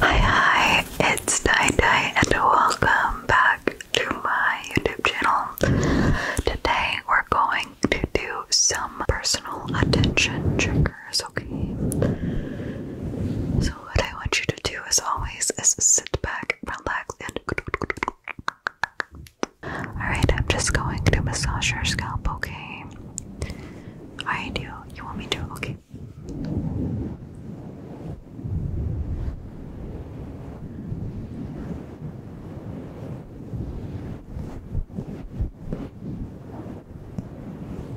Hi, hi, it's Dai and welcome back to my YouTube channel. Today, we're going to do some personal attention triggers yours, okay? So, what I want you to do, as always, is sit back, relax, and. Alright, I'm just going to massage your scalp, okay? I do. You want me to? Okay.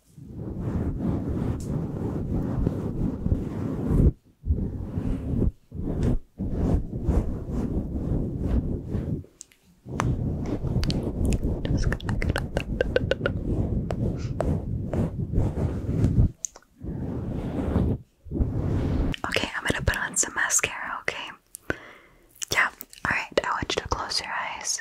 Okay, I'm gonna put on some mascara, okay? Yeah, alright, I want you to close your eyes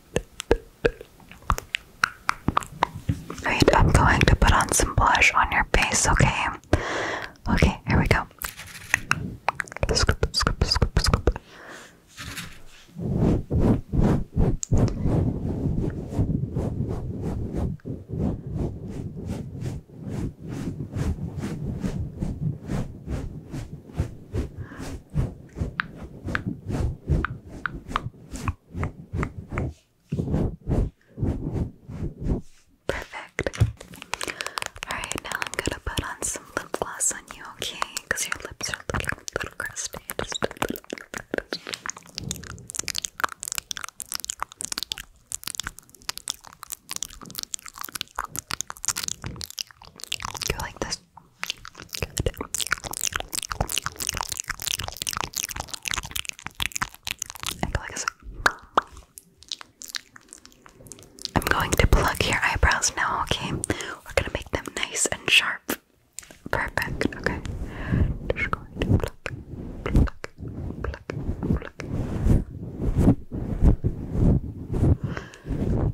Right, I'm going to put on some blush on your face, okay? Okay, here we go. Perfect. Alright, now I'm gonna put on some lip gloss on you, okay? Because your lips are looking a little crusty. You like this? I'm going to plug your eyebrows now, okay? We're gonna make them nice and sharp. Perfect, okay? Just going to pluck, pluck, pluck, pluck.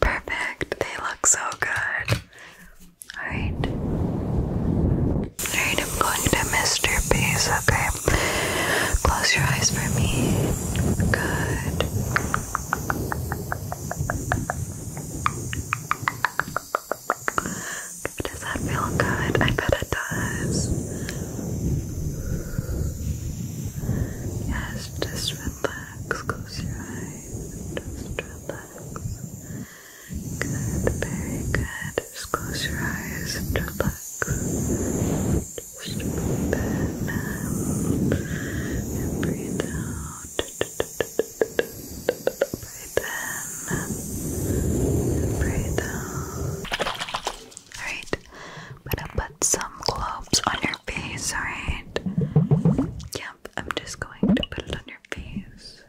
Perfect. They look so good. Alright. Alright, I'm going to Mister your okay? Close your eyes for me. Good. Does that feel good? I bet it does. Yes, just relax. Close your eyes. Just relax. Good, very good. Just close your eyes and relax. Just open and breathe out in, breathe I'm put some globes on your face, alright? Yep, I'm just going to put it on your face.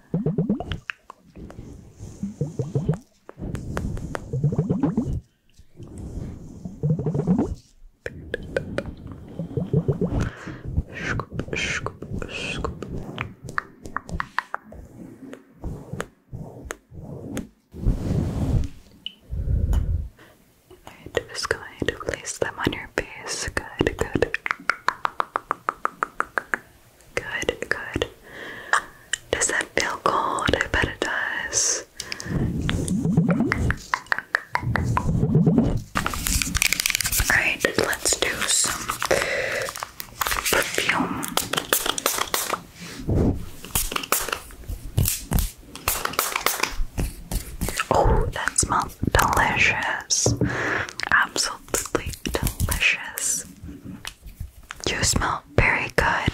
Scoop, scoop, scoop. Alright, just going to place them on your face. Good, good. Good, good. Does that feel cold? I bet it does. Alright, let's do some Oh, that smells delicious! Absolutely delicious. You smell very good.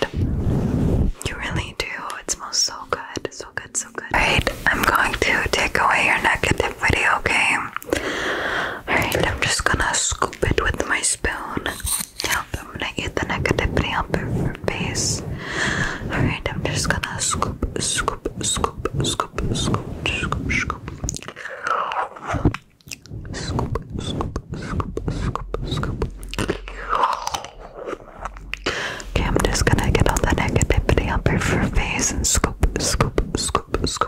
You really do. It smells so good. So good, so good. Alright, I'm going to take away your negative video, okay? Alright, I'm just gonna scoop it with my spoon. Yep, I'm gonna get the negativity up her face. Alright, I'm just gonna scoop, scoop, scoop, scoop, scoop, scoop, scoop. Scoop, scoop, scoop, scoop, scoop. Okay, I'm just gonna get all the negativity up her face and scoop, scoop, scoop, scoop,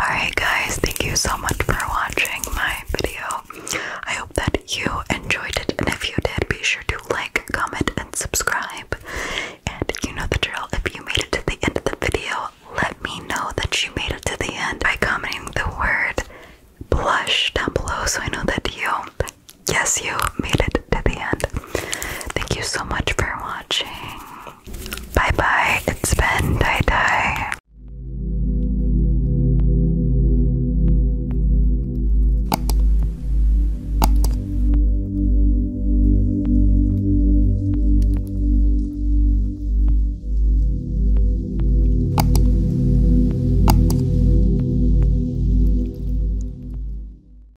Alright, guys, thank you so much for watching my video. I hope that you enjoyed it, and if you did, be sure to like, comment, and subscribe. And you know the drill if you made it to the end of the video, let me know that you made it to the end by commenting the word blush down below so I know that you, yes, you made it to the end. Thank you so much for watching watching. Bye bye. It's been Dai Dai.